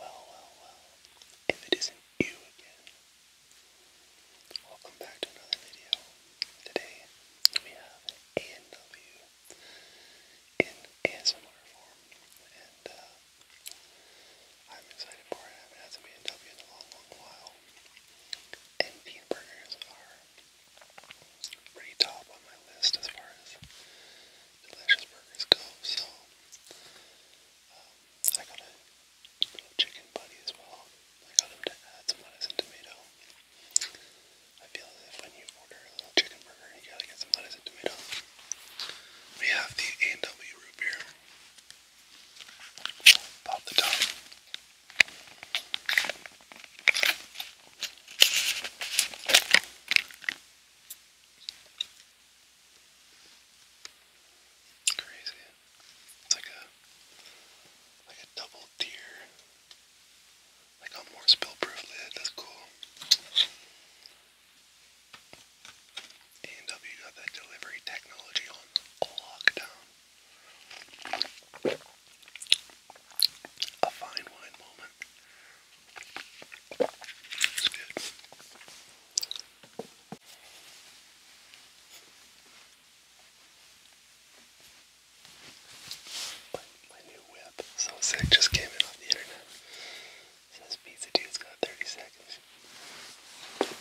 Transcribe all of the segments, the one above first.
Well, well, well, if it isn't you again. Welcome back to another video. Today we have a and in ASMR form, and uh, I'm excited for it. I haven't had some a and in a long, long while. And the burgers are pretty top on my list as far as delicious burgers go. So um, I got a little chicken buddy as well. I got him to add some lettuce and tomato. I feel like if when you order a little chicken burger, you gotta get some lettuce and tomato. We have the a root beer. Pop the top. Crazy. It's like a like a double tier. Like a more spill-proof lid. That's cool. And W got that delivery technology on lockdown. A fine wine moment so sick, just came in on the internet. says Pizza Dude's got 30 seconds.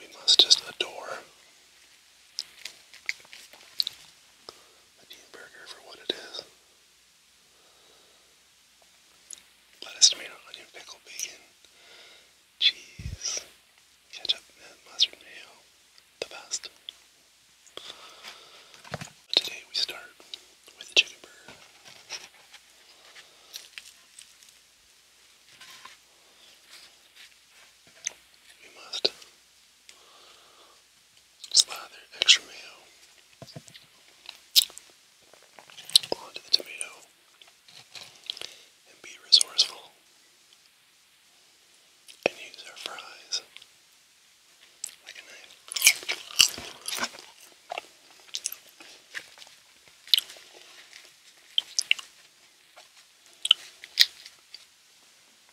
We must just adore the new burger for what it is. Lettuce, tomato, onion, pickle, bacon, cheese, ketchup, and mustard mayo. The best. But today we start with the chicken burger. must Slide the extra mayo onto the tomato and be resourceful and use our fries like a knife.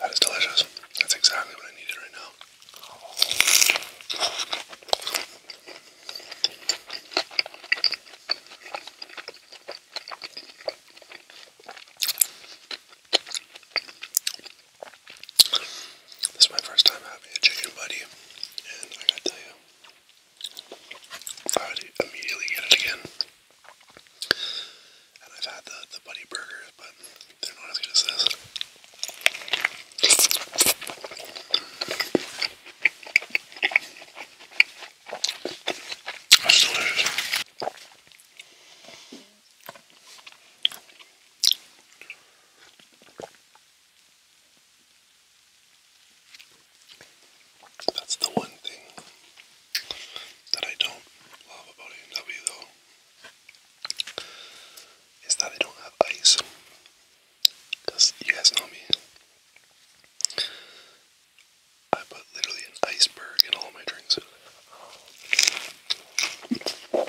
That is delicious. That's exactly what I needed right now. This is my first time having a chicken buddy, and I gotta tell you, I would immediately get it again. And I've had the, the Buddy Burgers, but they're not as good as this. That's delicious. That's the one thing that I don't love about A&W though, is that they don't have ice. Because you guys know me. I put literally an iceberg in all my drinks.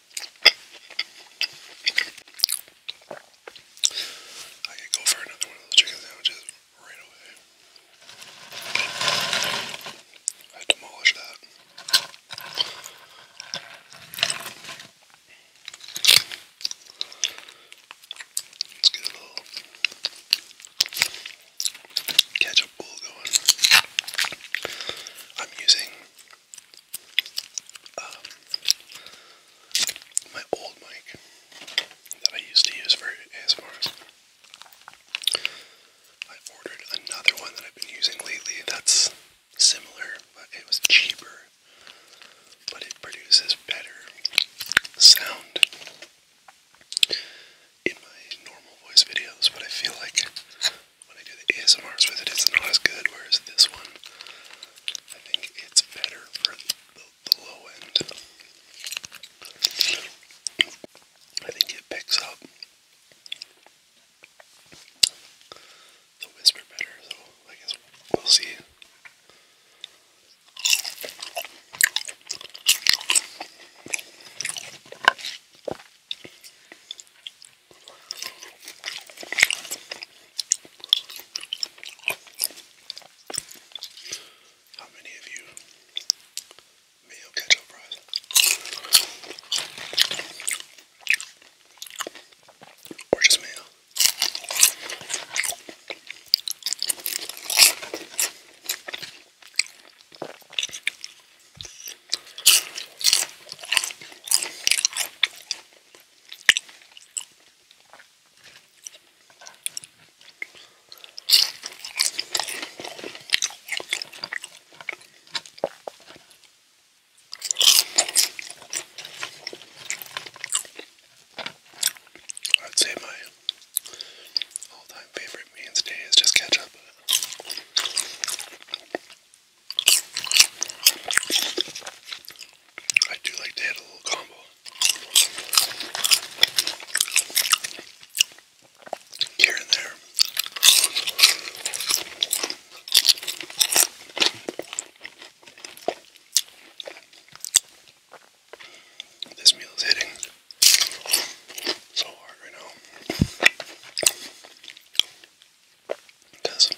I could go for another one of those chicken sandwiches right away. I demolished that. Let's get a little ketchup bowl going. I'm using um, my old mic that I used to use for ASMRs. I ordered another one that I've been using lately that's similar, but it was cheaper, but it produces better sound in my normal voice videos, but I feel like when I do the ASMRs with it, it's not as good, whereas this one, I think it's better for the, low end. I think it picks up the whisper better, so I guess we'll see. How many of you meal ketchup fries? Or just meal? I'd say my all-time favorite mainstay is just ketchup. I do like to add a little combo. Here and there. This meal is hitting so hard right now. Because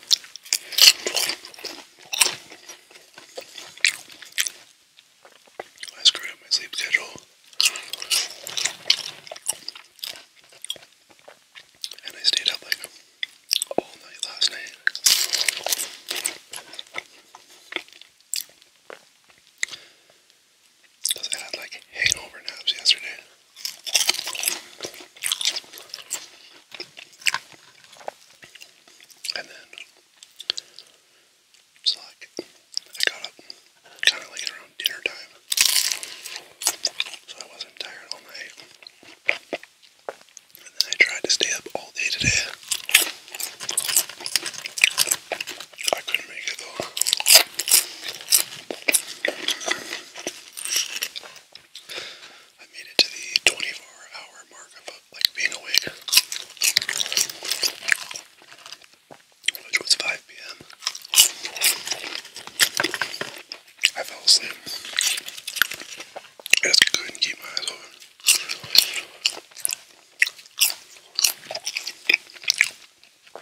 I screwed up my sleep schedule. And I stayed up like all night last night. Because I had like hangover naps yesterday. And then, so like, I got up kind of like around dinner time. So I wasn't tired all night. And then I tried to stay up all day today. I couldn't make it though. I made it to the 24 hour mark of uh, like being awake, which was 5 p.m. I fell asleep. I just couldn't keep my eyes open. Uh, I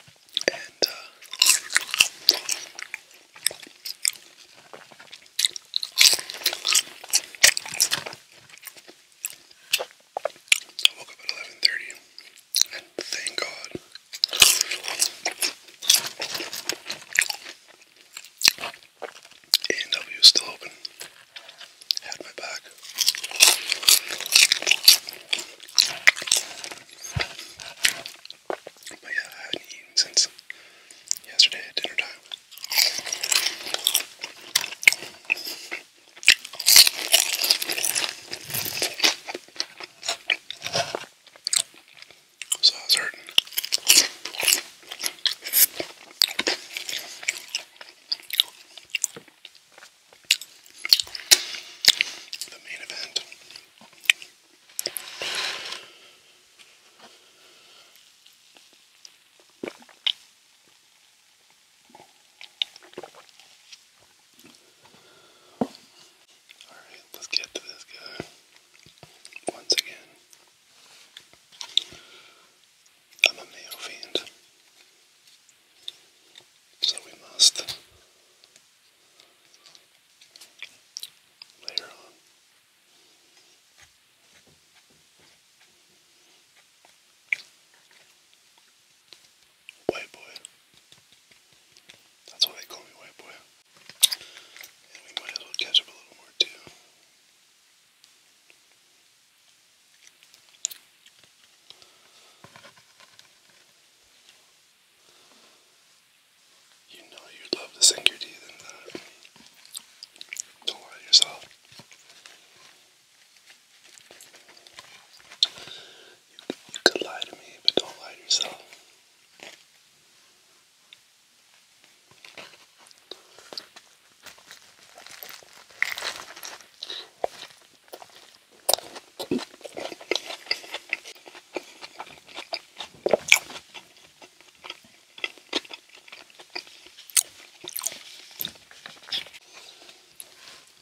woke up at eleven thirty, and thank God. A&W is still open. Had my back. But yeah, I haven't eaten since yesterday at dinner time. So I was hurting. Alright, let's get to this guy once again. I'm a mayo fiend. So we must layer on. White boy. That's why they call me white boy. And we might as well catch up a little more too. You know you'd love to sink your teeth in that. Don't lie to yourself. you could lie to me, but don't lie to yourself. The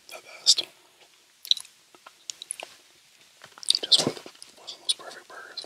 best. Just one of, the, one of the most perfect burgers.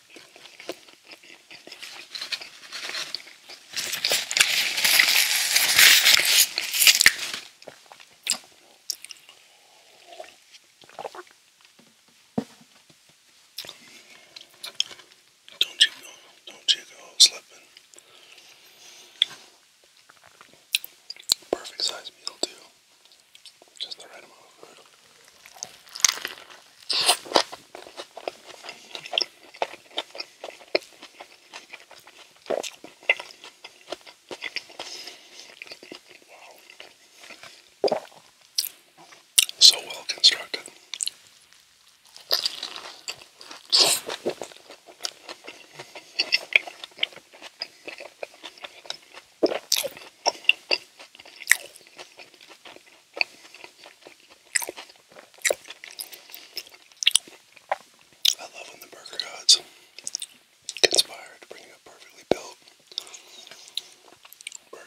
Don't you go, don't you go slipping. Perfect size meal too. Just the right amount of food. Wow. So well constructed. I love when the burger gods conspire to bring you a perfectly built burger.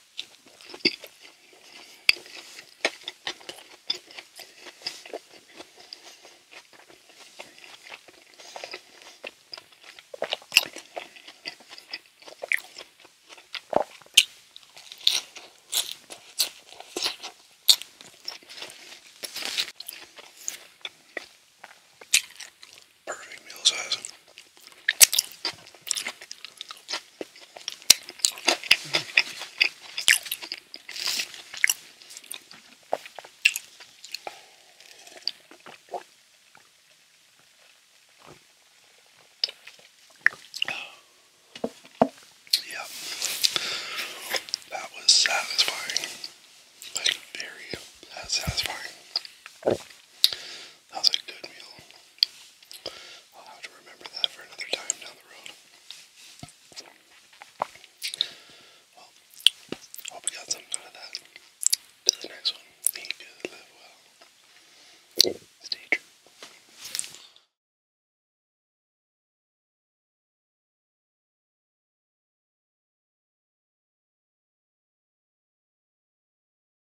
Perfect meal size. Yep, that was satisfying. Like very satisfying. That was a good meal. I'll have to remember that for another time down the road. Well, hope you got something out of that. Till the next one, live well. Stay true.